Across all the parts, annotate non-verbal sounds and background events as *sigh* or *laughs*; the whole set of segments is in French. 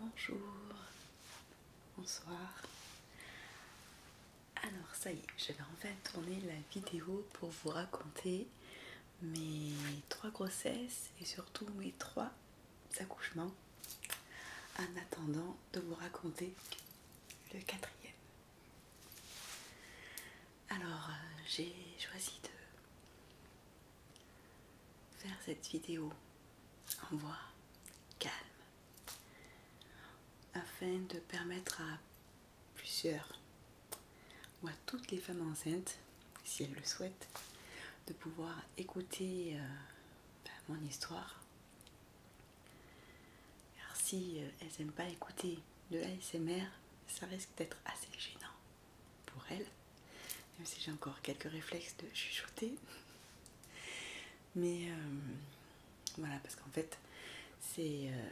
Bonjour, bonsoir. Alors ça y est, je vais enfin tourner la vidéo pour vous raconter mes trois grossesses et surtout mes trois accouchements en attendant de vous raconter le quatrième. Alors, euh, j'ai choisi de faire cette vidéo en voix calme afin de permettre à plusieurs ou à toutes les femmes enceintes, si elles le souhaitent, de pouvoir écouter euh, ben, mon histoire. Car si euh, elles n'aiment pas écouter de l'ASMR, ça risque d'être assez gênant pour elles. Même si j'ai encore quelques réflexes de chuchoter. *laughs* Mais euh, voilà, parce qu'en fait, c'est. Euh,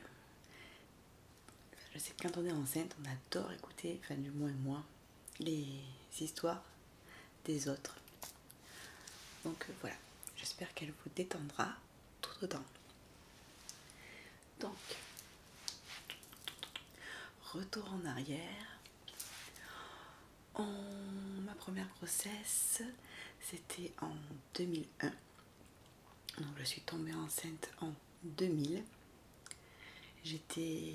je sais que quand on est enceinte, on adore écouter, enfin, du moins moi, les histoires des autres. Donc euh, voilà, j'espère qu'elle vous détendra tout autant. Donc, retour en arrière. ma première grossesse, c'était en 2001. Donc je suis tombée enceinte en 2000. J'étais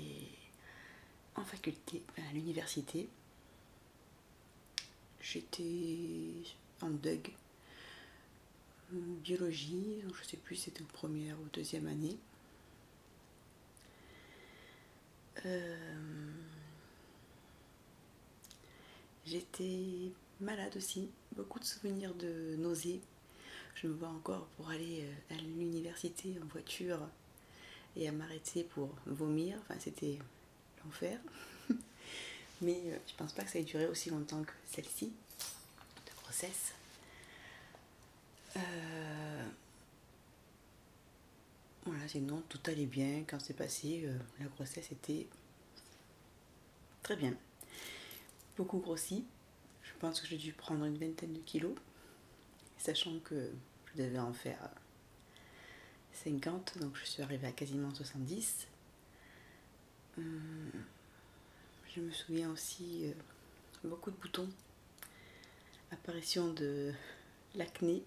en faculté, à l'université, j'étais en DUG, euh, biologie, je sais plus si c'était en première ou deuxième année. Euh, j'étais malade aussi, beaucoup de souvenirs de nausées. Je me vois encore pour aller euh, à l'université en voiture et à m'arrêter pour vomir. Enfin, c'était l'enfer. *laughs* Mais euh, je pense pas que ça ait duré aussi longtemps que celle-ci de grossesse. Euh, voilà, sinon tout allait bien. Quand c'est passé, euh, la grossesse était très bien. Beaucoup grossie, Je pense que j'ai dû prendre une vingtaine de kilos. Sachant que je devais en faire 50, euh, donc je suis arrivée à quasiment 70. Euh, je me souviens aussi euh, beaucoup de boutons, apparition de *laughs* l'acné,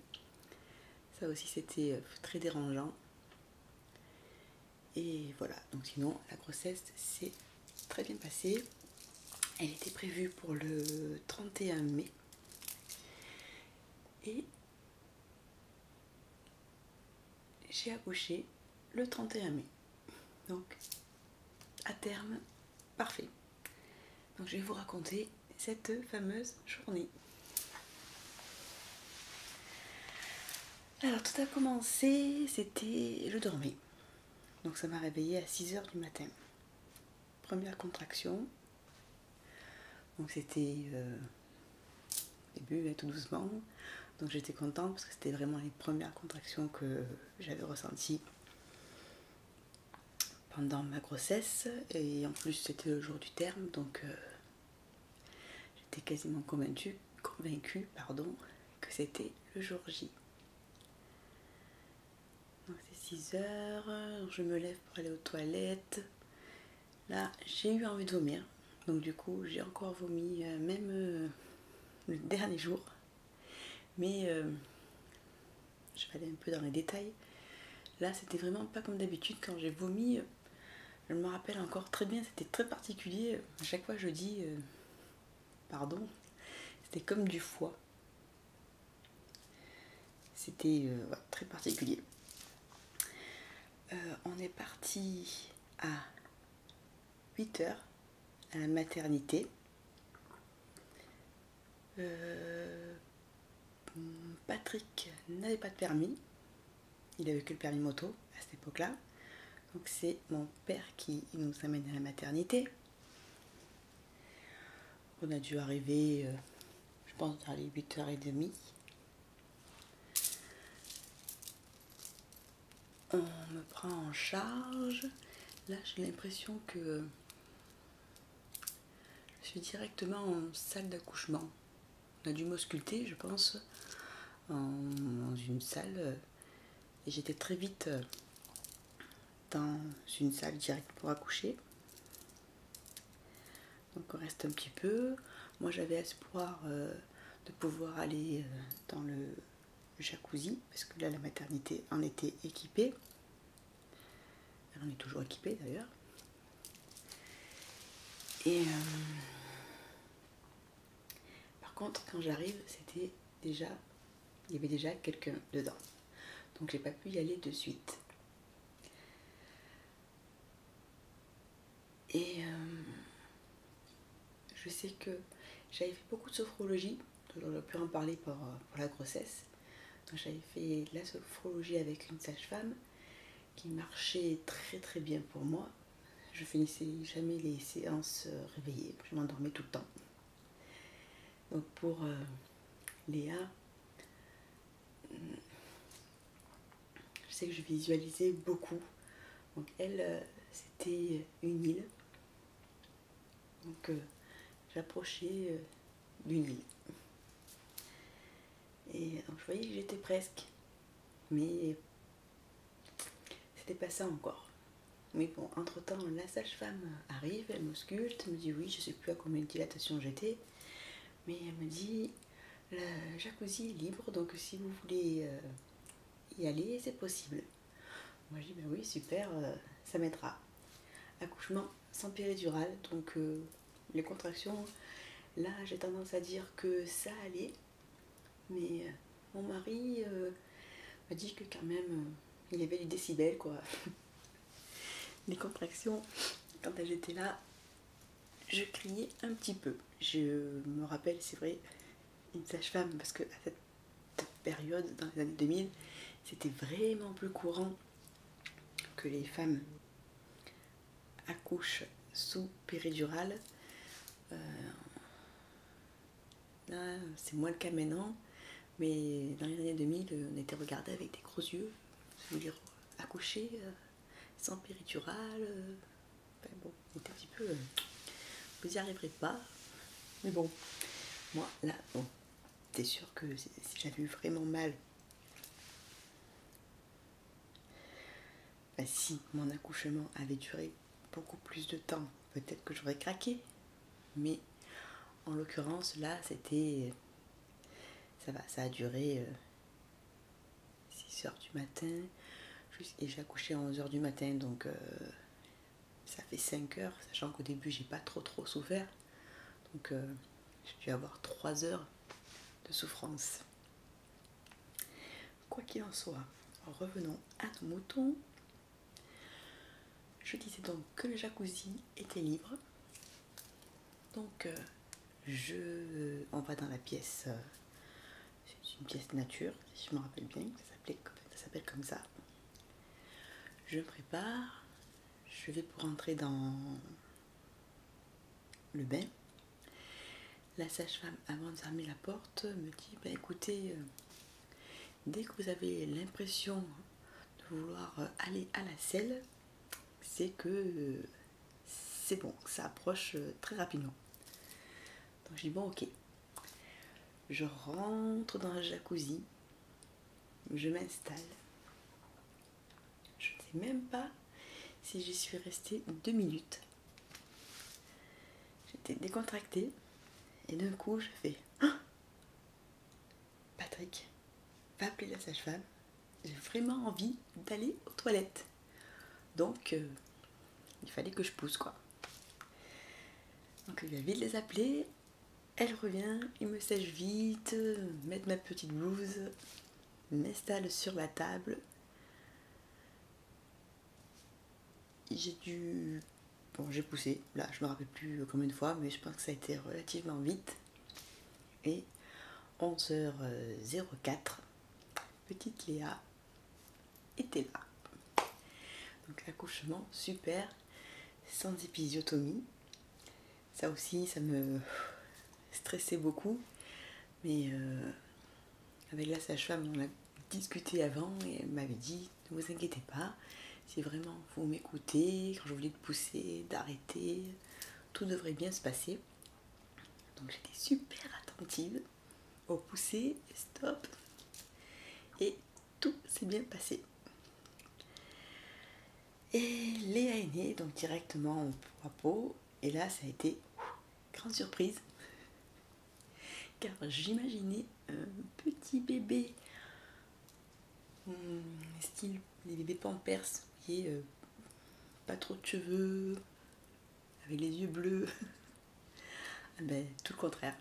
ça aussi c'était très dérangeant. Et voilà, donc sinon la grossesse s'est très bien passée. Elle était prévue pour le 31 mai. Et j'ai accouché le 31 mai. Donc, à terme, parfait. Donc, je vais vous raconter cette fameuse journée. Alors, tout a commencé, c'était. le dormais. Donc, ça m'a réveillée à 6h du matin première contraction. Donc c'était au euh, début, tout doucement. Donc j'étais contente parce que c'était vraiment les premières contractions que j'avais ressenties pendant ma grossesse. Et en plus c'était le jour du terme, donc euh, j'étais quasiment convaincue, pardon, que c'était le jour J c'est 6 heures, je me lève pour aller aux toilettes. Là, j'ai eu envie de vomir. Donc du coup, j'ai encore vomi, euh, même euh, le *laughs* dernier jour. Mais euh, je vais aller un peu dans les détails. Là, c'était vraiment pas comme d'habitude. Quand j'ai vomi, je me rappelle encore très bien, c'était très particulier. À chaque fois, je dis pardon. C'était comme du foie. C'était euh, très particulier. Euh, on est parti à 8h à la maternité. Euh, Patrick n'avait pas de permis. Il avait que le permis moto à cette époque-là. Donc c'est mon père qui nous amène à la maternité. On a dû arriver, euh, je pense, à les 8h30. On me prend en charge. Là, j'ai l'impression que je suis directement en salle d'accouchement. On a dû m'ausculter, je pense, en, dans une salle. Euh, et j'étais très vite euh, dans une salle directe pour accoucher. Donc on reste un petit peu. Moi j'avais espoir euh, de pouvoir aller euh, dans le jacuzzi, parce que là la maternité en était équipée. Elle en est toujours équipée d'ailleurs. Et euh, par contre quand j'arrive c'était déjà, il y avait déjà quelqu'un dedans. Donc j'ai pas pu y aller de suite. Et euh, je sais que j'avais fait beaucoup de sophrologie, j'aurais pu en parler pour, euh, pour la grossesse. J'avais fait de la sophrologie avec une sage-femme qui marchait très très bien pour moi. Je finissais jamais les séances euh, réveillées, je m'endormais tout le temps. Donc pour euh, Léa, je sais que je visualisais beaucoup. Donc elle, euh, c'était une île. Donc euh, j'approchais d'une île. Et donc, je voyais que j'étais presque. Mais c'était pas ça encore. Mais bon, entre-temps, la sage-femme arrive, elle m'ausculte, me dit oui, je ne sais plus à combien de dilatations j'étais, mais elle me dit, la jacuzzi est libre, donc si vous voulez euh, y aller, c'est possible. Moi, je dis, ben oui, super, euh, ça m'aidera. Accouchement sans péridurale, donc euh, les contractions, là, j'ai tendance à dire que ça allait, mais mon mari m'a dit que quand même, il y avait du décibel, quoi. *laughs* Les contractions, quand j'étais là, je criais un petit peu. Je me rappelle, c'est vrai, une sage-femme, parce que à cette période, dans les années 2000, c'était vraiment plus courant que les femmes accouchent sous péridurale. Euh, ah, c'est moins le cas maintenant, mais dans les années 2000, euh, on était regardé avec des gros yeux, Accouchés, accouché, sans périturale. Euh, bon, un petit peu. vous n'y arriverez pas. Mais bon, moi, là, bon, c'est sûr que si j'avais eu vraiment mal, bah, si mon accouchement avait duré beaucoup plus de temps, peut-être que j'aurais craqué. Mais en l'occurrence, là, c'était. Ça va, ça a duré 6 euh, heures du matin. Et j'ai accouché à 11 heures du matin, donc euh, ça fait 5 heures, sachant qu'au début, j'ai pas trop trop souffert. Donc, je euh, j'ai dû avoir 3 heures de souffrance. Quoi qu'il en soit, revenons à nos moutons. Je disais donc que le jacuzzi était libre. Donc euh, je on va dans la pièce euh, c'est une pièce nature, si je me rappelle bien, ça s'appelle comme ça. Je me prépare, je vais pour entrer dans le bain. La sage-femme, avant de fermer la porte, me dit bah, écoutez, euh, Dès que vous avez l'impression de vouloir aller à la selle, c'est que c'est bon, ça approche euh, très rapidement. Donc je dis bon ok. Je rentre dans la jacuzzi, je m'installe. Je ne sais même pas si j'y suis restée deux minutes. J'étais décontractée et d'un coup je fais hein Patrick, va appeler la sage-femme, j'ai vraiment envie d'aller aux toilettes. Donc, euh, il fallait que je pousse, quoi. Donc, il va vite les appeler, elle revient, il me sèche vite, mettre ma petite blouse, m'installe sur la table j'ai dû... Bon, j'ai poussé, là, je me rappelle plus combien de fois, mais je pense que ça a été relativement vite. Et 11h04, petite Léa était là. Donc accouchement super, sans épisiotomie. Ça aussi, ça me stressait beaucoup. Mais euh, avec la sage-femme, on a discuté avant et elle m'avait dit ne vous inquiétez pas. Si vraiment vous m'écoutez, quand je voulais de pousser, d'arrêter, tout devrait bien se passer. Donc j'étais super attentive au pousser, stop. Et tout s'est bien passé. Et les est donc directement au peau. Et là, ça a été grande surprise. Car j'imaginais euh, petit bébé bébé, hum, style les bébés pampers, vous voyez, euh, pas trop de cheveux, avec les yeux bleus. *laughs* Ah ben, tout le contraire.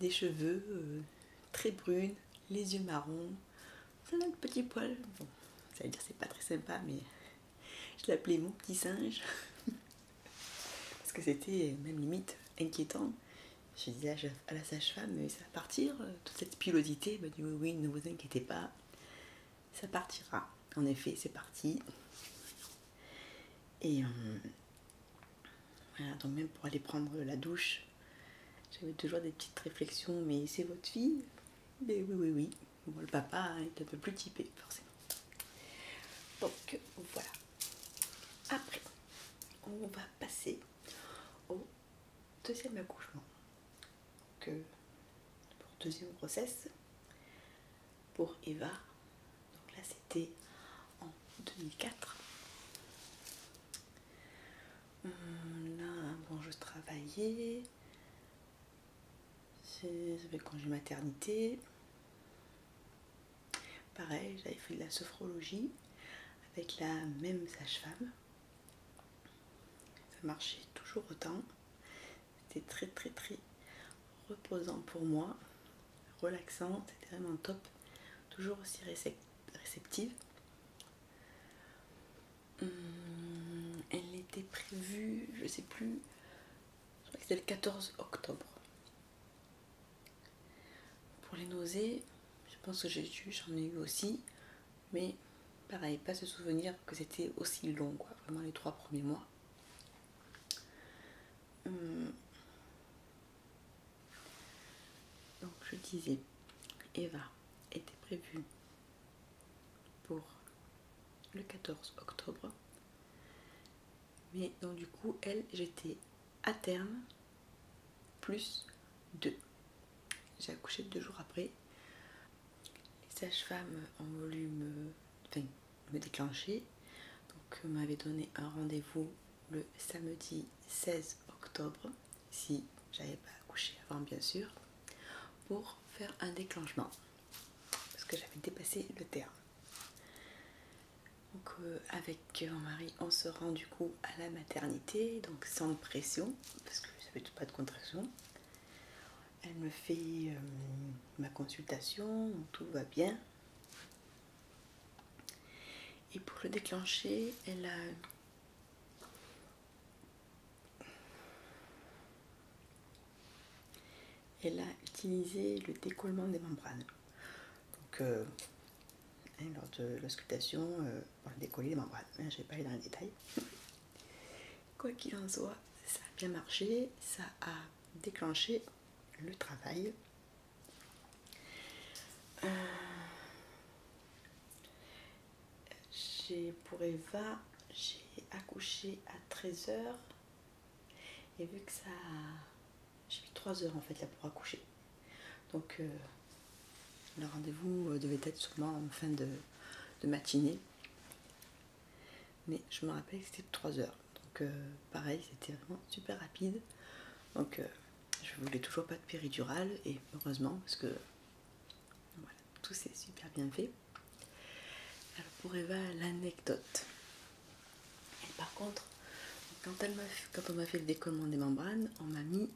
Des cheveux euh, très brunes, les yeux marrons, plein de petit poil, Bon, ça veut dire c'est pas très sympa, mais *laughs* je l'appelais mon petit singe. *laughs* Parce que c'était même limite inquiétant. Je disais à la sage-femme, mais ça va partir, euh, toute cette pilosité. Elle m'a dit oui, oui, ne vous inquiétez pas, ça partira. En effet, c'est parti. Et euh, voilà, donc même pour aller prendre la douche, j'avais toujours des petites réflexions, mais c'est votre fille Mais oui, oui, oui. Bon, le papa est un peu plus typé, forcément. Donc voilà. Après, on va passer au deuxième accouchement. Que pour deuxième grossesse pour Eva. Donc là c'était en 2004. Là, bon, je travaillais. c'était quand maternité. Pareil, j'avais fait de la sophrologie avec la même sage-femme. Ça marchait toujours autant. C'était très très très reposant pour moi, relaxant, c'était vraiment top. Toujours aussi réceptive. Hum, elle était prévue, je ne sais plus, je crois que c'était le 14 octobre. Pour les nausées, je pense que j'ai eu, j'en ai eu aussi, mais pareil, pas se souvenir que c'était aussi long, vraiment les trois premiers mois. Hum. Donc je disais, Eva était prévue pour le 14 octobre mais donc du coup elle j'étais à terme plus 2 j'ai accouché deux jours après les sages-femmes ont voulu me déclencher donc m'avaient donné un rendez-vous le samedi 16 octobre si j'avais pas accouché avant bien sûr pour faire un déclenchement parce que j'avais dépassé le terme donc, euh, avec mon mari, on se rend du coup à la maternité, donc sans pression, parce que ça fait pas de contraction. Elle me fait euh, ma consultation, tout va bien. Et pour le déclencher, elle a elle a utilisé le décollement des membranes. Donc, euh, hein, lors de l'auscultation, euh, on a décollé les membranes. mais hein, je vais pas aller dans les détails. *laughs* Quoi qu'il en soit, ça a bien marché, ça a déclenché le travail. Euh, j'ai pour Eva, j'ai accouché à 13h et vu que ça j'ai mis 3 heures en fait là pour accoucher. Donc euh, le rendez-vous euh, devait être sûrement en fin de, matinée. Mais je me rappelle que c'était 3 heures. Donc euh, pareil, c'était vraiment super rapide. Donc je voulais toujours pas de péridurale et heureusement parce que tout s'est super bien fait. Alors pour Eva, l'anecdote par contre, quand, on m'a fait le décollement des membranes, on m'a mis,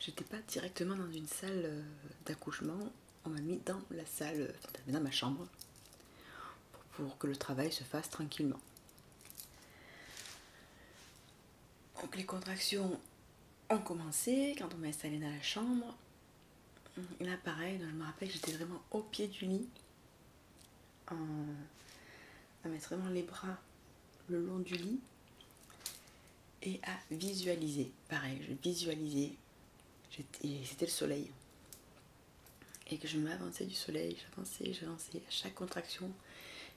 j'étais pas directement dans une salle euh, d'accouchement, on m'a mis dans la salle, euh, dans ma chambre, pour, que le travail se fasse tranquillement. Donc les contractions ont commencé quand on m'a installée dans la chambre. Là pareil, je me rappelle que j'étais vraiment au pied du lit à, mettre vraiment les bras le long du lit et à visualiser. Pareil, je visualisais, c'était le soleil. Et que je m'avançais du soleil, j'avançais, j'avançais. À chaque contraction,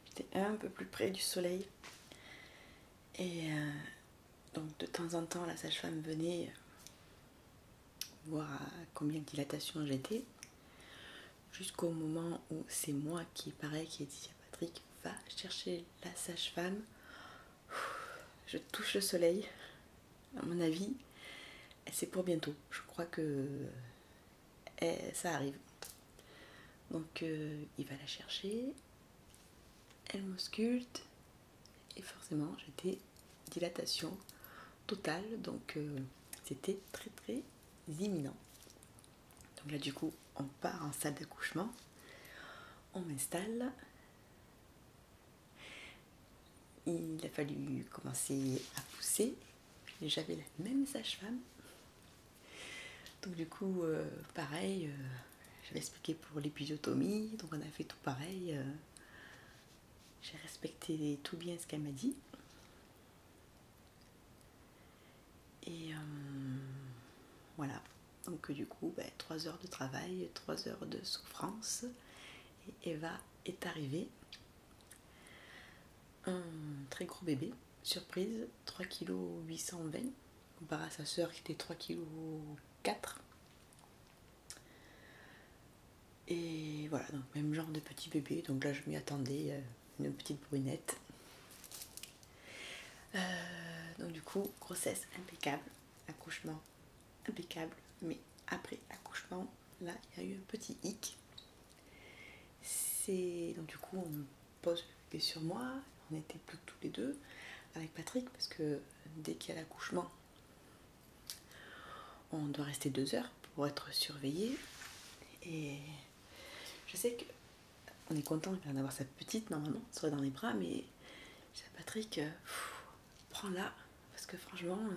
j'étais un peu plus près du soleil. Et euh, donc de temps en temps, la sage-femme venait voir à combien de dilatation j'étais jusqu'au moment où c'est moi qui, pareil, qui ai dit à Patrick, va chercher la sage-femme. Je touche le soleil, à mon avis, c'est pour bientôt. Je crois que eh, ça arrive. Donc euh, il va la chercher, elle m'ausculte, et forcément j'étais dilatation totale, donc euh, c'était très très imminents. Donc là, du coup, on part en salle d'accouchement, on m'installe. Il a fallu commencer à pousser. J'avais la même sage-femme. Donc du coup, euh, pareil, je euh, j'avais expliqué pour l'épidiotomie, donc on a fait tout pareil. Euh, j'ai respecté tout bien ce qu'elle m'a dit. Et euh, voilà. Donc du coup, ben, trois 3 heures de travail, 3 heures de souffrance. Et Eva est arrivée. Un très gros bébé, surprise, 3 kg 820, comparé à sa soeur qui était 3 kg 4. Et voilà, donc même genre de petit bébé. Donc là, je m'y attendais, euh, une petite brunette. Euh, donc du coup, grossesse impeccable, accouchement impeccable. Mais après accouchement, là, il y a eu un petit hic. C'est donc du coup, on pose le bébé sur moi. On était plus tous les deux avec Patrick parce que dès qu'il y a l'accouchement, on doit rester deux heures pour être surveillé. Et je sais que on est content d'avoir sa petite normalement, soit dans les bras, mais Patrick, euh, prends-la parce que franchement, euh,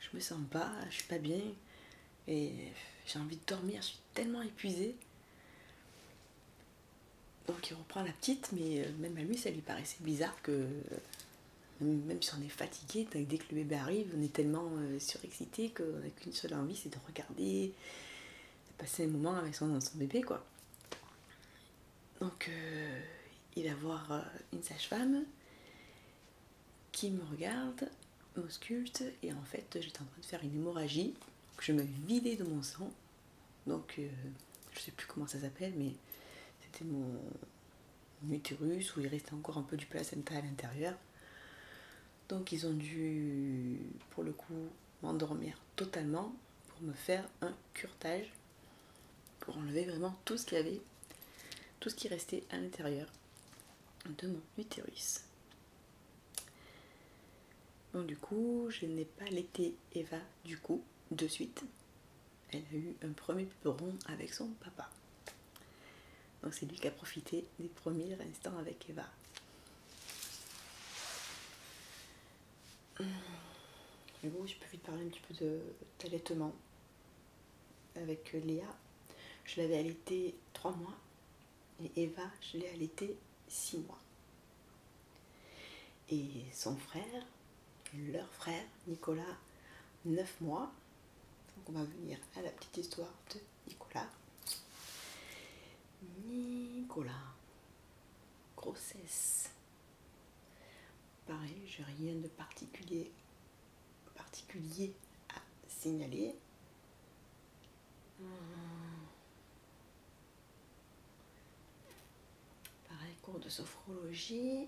je me sens pas, je suis pas bien et j'ai envie de dormir, je suis tellement épuisée. Donc il reprend la petite, mais euh, même à lui, ça lui paraissait bizarre que même si on est fatigué, dès que le bébé arrive, on est tellement euh, surexcité qu'on n'a qu'une seule envie, c'est de regarder, de passer un moment avec son, bébé, quoi. Donc, euh, il va voir euh, une sage-femme qui me regarde, m'ausculte, et en fait, j'étais en train de faire une hémorragie. je me vidais de mon sang. Donc, je sais plus comment ça s'appelle, mais c'était mon, utérus où il restait encore un peu du placenta à l'intérieur. Donc ils ont dû, pour le coup, m'endormir totalement pour me faire un curtage, pour enlever vraiment tout ce qu'il y avait, tout ce qui restait à l'intérieur de mon utérus. Donc du coup, je n'ai pas l'été Eva du coup, de suite elle a eu un premier piperon avec son papa. Donc c'est lui qui a profité des premiers instants avec Eva. Mais hum. bon, je peux vite parler un petit peu de d'allaitement avec Léa. Je l'avais allaitée 3 mois et Eva, je l'ai allaitée six mois. Et son frère, leur frère, Nicolas, 9 mois on va venir à la petite histoire de Nicolas. Nicolas, grossesse. Pareil, n'ai rien de particulier, particulier à signaler. Pareil, cours de sophrologie.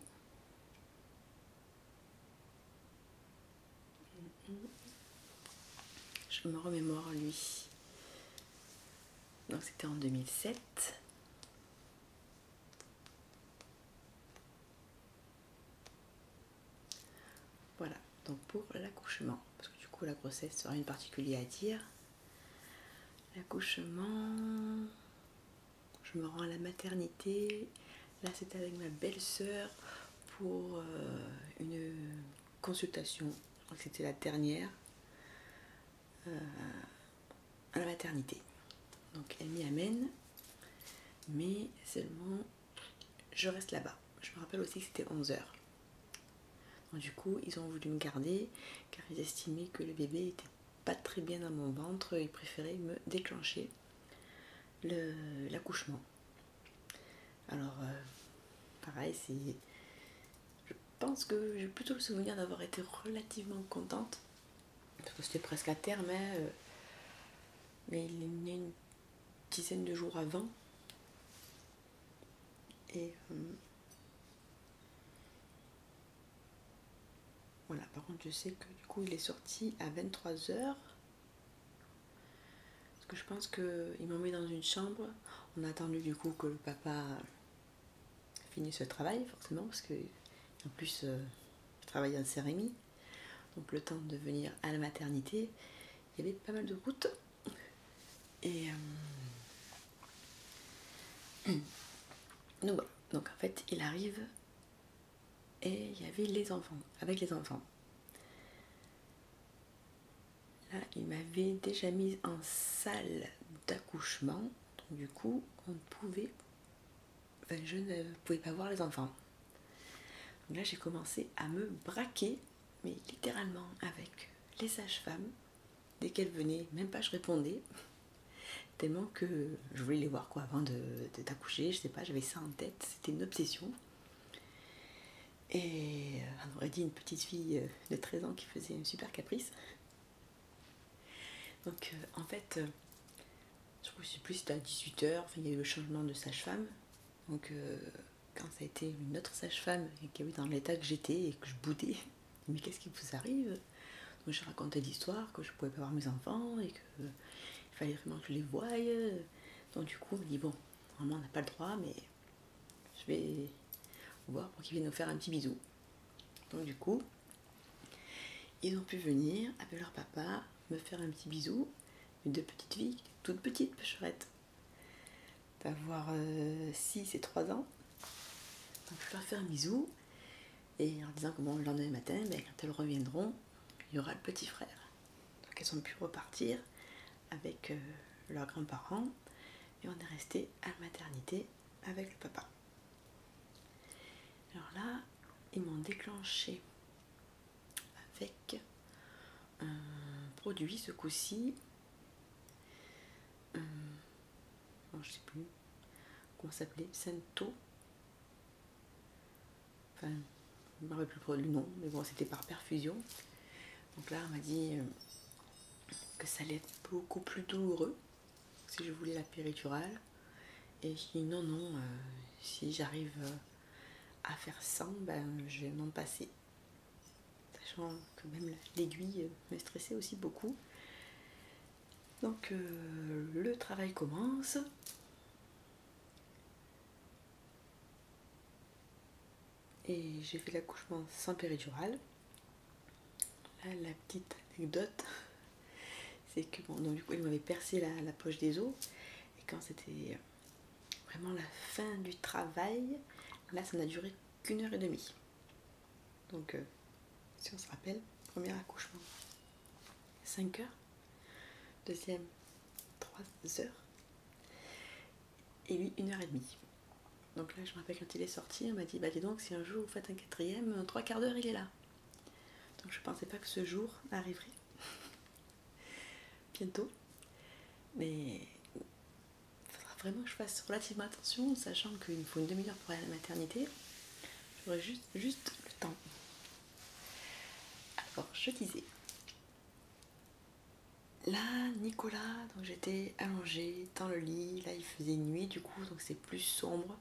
Je me remémore lui. Donc c'était en 2007. Voilà, donc pour l'accouchement, parce que du coup la grossesse n'a rien de particulier à dire. L'accouchement, je me rends à la maternité. Là, c'était avec ma belle-sœur pour euh, une consultation. Je crois que c'était la dernière euh, à la maternité. Donc, elle m'y amène, mais seulement je reste là-bas. Je me rappelle aussi que c'était 11h. du coup, ils ont voulu me garder car ils estimaient que le bébé était pas très bien dans mon ventre, il préférait me déclencher l'accouchement. Alors, euh, pareil, c'est. Je pense que j'ai plutôt le souvenir d'avoir été relativement contente, parce que c'était presque à terme, hein, euh, mais il y a une dizaine de jours avant. Et. Euh, voilà, par contre, je sais que du coup, il est sorti à 23h. Parce que je pense qu'il m'a mis dans une chambre. On a attendu du coup que le papa finisse le travail, forcément, parce que en plus, il euh, je travaille en Donc, le temps de venir à la maternité, il y avait pas mal de routes. Et. Euh, *clears throat* donc, voilà. donc en fait, il arrive et il y avait les enfants, avec les enfants. Là, il m'avait déjà mise en salle d'accouchement, donc du coup, on pouvait, je ne pouvais pas voir les enfants. Donc là, j'ai commencé à me braquer, mais littéralement avec les sages-femmes. Dès qu'elles venaient, même pas je répondais. Tellement que je voulais les voir quoi avant de, je sais pas, j'avais ça en tête, c'était une obsession. Et euh, on aurait dit une petite fille euh, de 13 ans qui faisait un super caprice. Donc euh, en fait, je crois que c'est plus à 18h, il y a eu le changement de sage-femme. Donc quand ça a été une autre sage-femme et qui a dans l'état que j'étais et que je boudais, *laughs* mais qu'est-ce qui vous arrive donc je racontais l'histoire, que je pouvais pas voir mes enfants et qu'il fallait vraiment que je les voie. Donc du coup, on dit bon, normalement on n'a pas le droit, mais je vais voir pour qu'ils viennent nous faire un petit bisou. Donc du coup, ils ont pu venir avec leur papa me faire un petit bisou, mes deux petites filles, toutes petites pêcherettes, d'avoir 6 euh, et 3 ans. Donc je leur fais un bisou et en disant que le lendemain matin, ben, quand elles reviendront, il y aura le petit frère. Donc elles ont pu repartir avec euh, leurs grands-parents et on est resté à la maternité avec le papa. Alors là, ils m'ont déclenché avec un produit ce coup-ci. Euh, je sais plus comment s'appelait, Santo Enfin, je ne plus le nom, mais bon, c'était par perfusion. Donc là, on m'a dit euh, que ça allait être beaucoup plus douloureux si je voulais la péridurale. Et je dit non, non, euh, si j'arrive euh, à faire sans, ben, je vais m'en passer. Sachant que même l'aiguille me stressait aussi beaucoup. Donc euh, le travail commence. Et j'ai fait l'accouchement sans péridurale. la petite anecdote, *laughs* c'est que bon, du coup, il m'avait percé la, poche des os. Et quand c'était vraiment la fin du travail, là, ça n'a duré qu'une heure et demie. Donc, euh, si on se rappelle, premier accouchement, 5 h deuxième, 3 h et lui, 1 heure et Donc là, je me rappelle quand il est sorti, on m'a dit, bah dis donc, si un jour vous faites un quatrième, trois quarts d'heure, il est là. Donc je pensais pas que ce jour arriverait. *laughs* Bientôt. Mais il faudra vraiment que je fasse relativement attention, sachant qu'il me faut une demi-heure pour aller à la maternité. J'aurais juste juste, le temps. Alors, je disais. Là, Nicolas, donc j'étais allongée dans le lit, là il faisait nuit du coup, donc c'est plus sombre.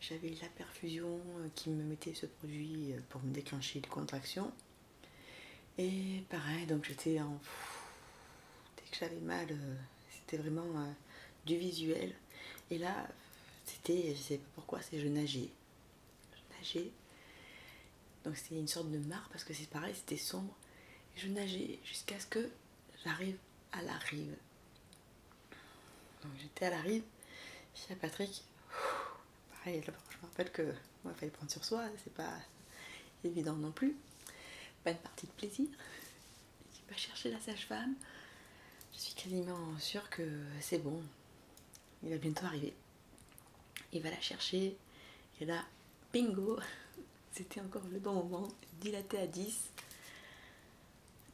J'avais la perfusion euh, qui me mettait ce produit euh, pour me déclencher les contractions. Et pareil, donc j'étais en... Dès que j'avais mal, euh, c'était vraiment du visuel. Et là, c'était, je sais pas pourquoi, c'est je nageais. Je nageais. Donc c'était une sorte de mare parce que c'est pareil, c'était sombre. je nageais jusqu'à ce que j'arrive à la rive. Donc j'étais à la rive, je à Patrick, pareil, je me rappelle que il fallait prendre sur soi, c'est pas évident non plus. Pas une partie de plaisir il va chercher la sage-femme. Je suis quasiment sûre que c'est bon. Il va bientôt arriver. Il va la chercher. Et là, bingo *laughs* C'était encore le bon moment, dilaté à 10.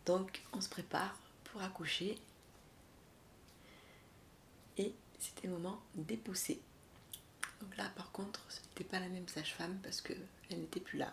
Donc on se prépare pour accoucher. Et c'était le moment d'épousser. Donc là par contre ce n'était pas la même sage-femme parce qu'elle n'était plus là.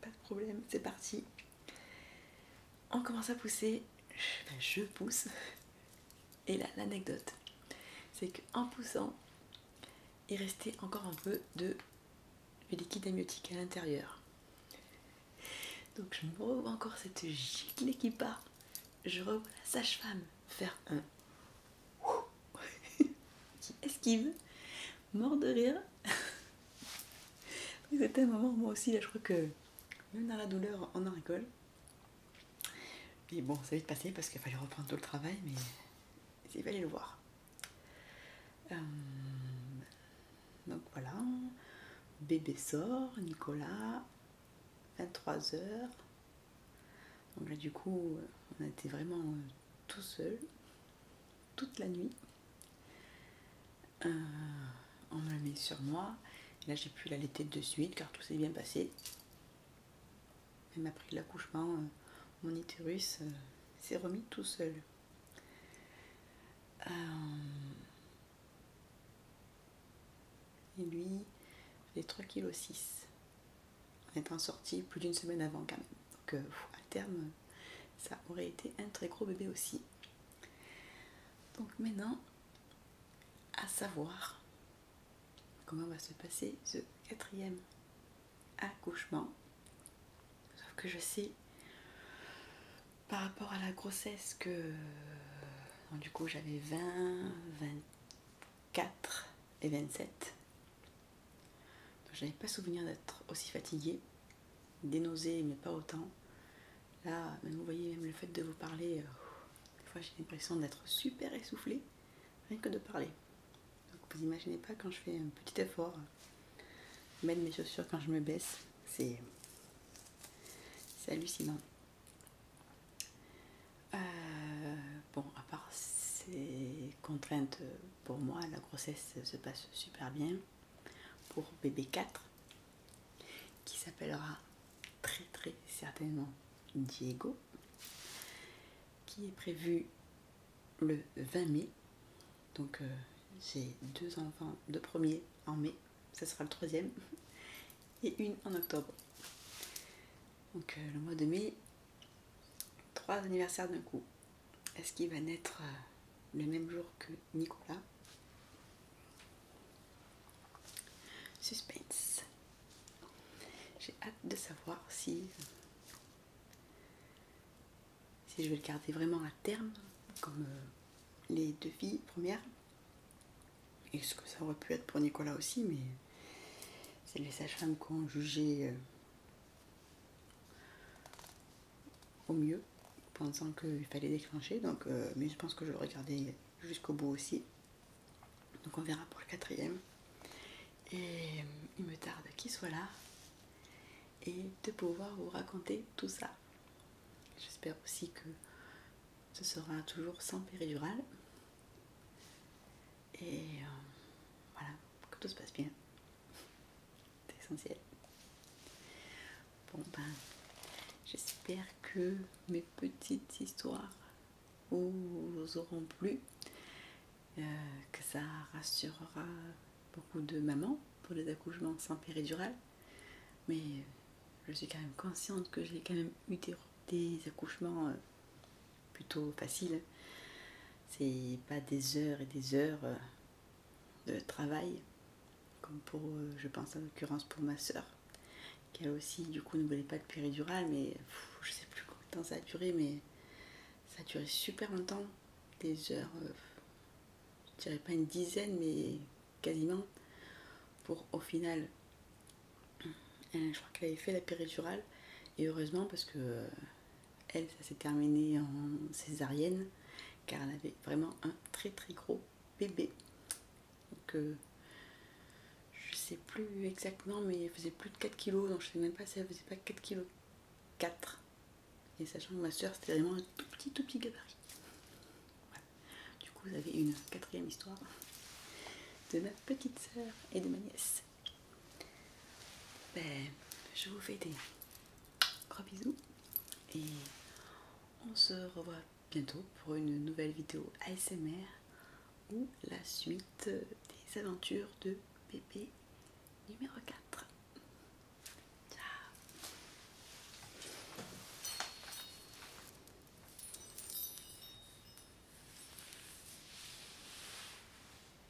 pas de problème, c'est parti. On commence à pousser, je pousse. Et là, l'anecdote, c'est qu'en poussant, il restait encore un peu de liquide amniotique à l'intérieur. Donc je me revois encore cette giclée qui part. Je revois la sage-femme faire un *laughs* qui esquive mort de rire. *laughs* C'était un moment, moi aussi, là, je crois que même dans la douleur, on en rigole. puis bon, ça va vite passé parce qu'il fallait reprendre tout le travail, mais il fallait le voir. Euh, donc voilà, bébé sort, Nicolas, 23h. Donc là, du coup, on a été vraiment tout seul, toute la nuit. Euh, on me le met sur moi. Là, j'ai pu l'allaiter de suite car tout s'est bien passé. Même après l'accouchement, euh, mon itérus euh, s'est remis tout seul. Et lui, il les 3,6 kg en étant sorti plus d'une semaine avant quand même. Donc euh, à terme, ça aurait été un très gros bébé aussi. Donc maintenant, à savoir comment va se passer ce quatrième accouchement. Sauf que je sais par rapport à la grossesse que euh, du coup j'avais 20, 24 et 27 je n'avais pas souvenir d'être aussi fatiguée, des mais pas autant. Là, vous voyez, même le fait de vous parler, euh, des fois j'ai l'impression d'être super essoufflée, rien que de parler. Donc vous imaginez pas quand je fais un petit effort, mettre mes chaussures quand je me baisse, c'est hallucinant. Euh, bon, à part ces contraintes euh, pour moi la grossesse se passe super bien pour bébé 4 qui s'appellera très très certainement Diego qui est prévu le 20 mai donc euh, j'ai deux enfants deux premiers en mai ça sera le troisième *laughs* et une en octobre donc euh, le mois de mai trois anniversaires d'un coup est-ce qu'il va naître euh, le même jour que Nicolas Suspense. J'ai hâte de savoir si, si je vais le garder vraiment à terme, comme euh, les deux filles premières. Et ce que ça aurait pu être pour Nicolas aussi, mais c'est les sages-femmes qui jugé euh, au mieux, pensant qu'il fallait déclencher. Donc, euh, mais je pense que je vais regarder jusqu'au bout aussi. Donc on verra pour le quatrième. Et euh, il me tarde qu'il soit là et de pouvoir vous raconter tout ça. J'espère aussi que ce sera toujours sans péridurale. Et euh, voilà, que tout se passe bien. C'est essentiel. Bon ben, j'espère que mes petites histoires vous auront plu, euh, que ça rassurera beaucoup de mamans pour les accouchements sans péridurale. Mais euh, je suis quand même consciente que j'ai quand même eu des, accouchements euh, plutôt facile. C'est pas des heures et des heures euh, de travail, comme pour, euh, je pense en l'occurrence pour ma soeur, qui elle aussi du coup ne voulait pas de péridurale, mais je sais plus combien de temps ça a duré, mais ça a duré super longtemps, des heures, euh, je dirais pas une dizaine, mais quasiment, pour au final, *clears throat* je crois qu'elle avait fait la péridurale, et heureusement parce que elle, ça s'est terminé en césarienne, car elle avait vraiment un très très gros bébé. Donc, ne euh, je sais plus exactement, mais elle faisait plus de 4 kilos, donc je sais même pas si elle faisait pas 4 kilos. 4. Et sachant que ma soeur, c'était vraiment un tout petit, tout petit gabarit. Du coup, vous avez une quatrième histoire de ma petite soeur et de ma nièce. Ben, je vous fais des gros bisous et on se revoit bientôt pour une nouvelle vidéo ASMR ou la suite des aventures de bébé numéro 4. Ciao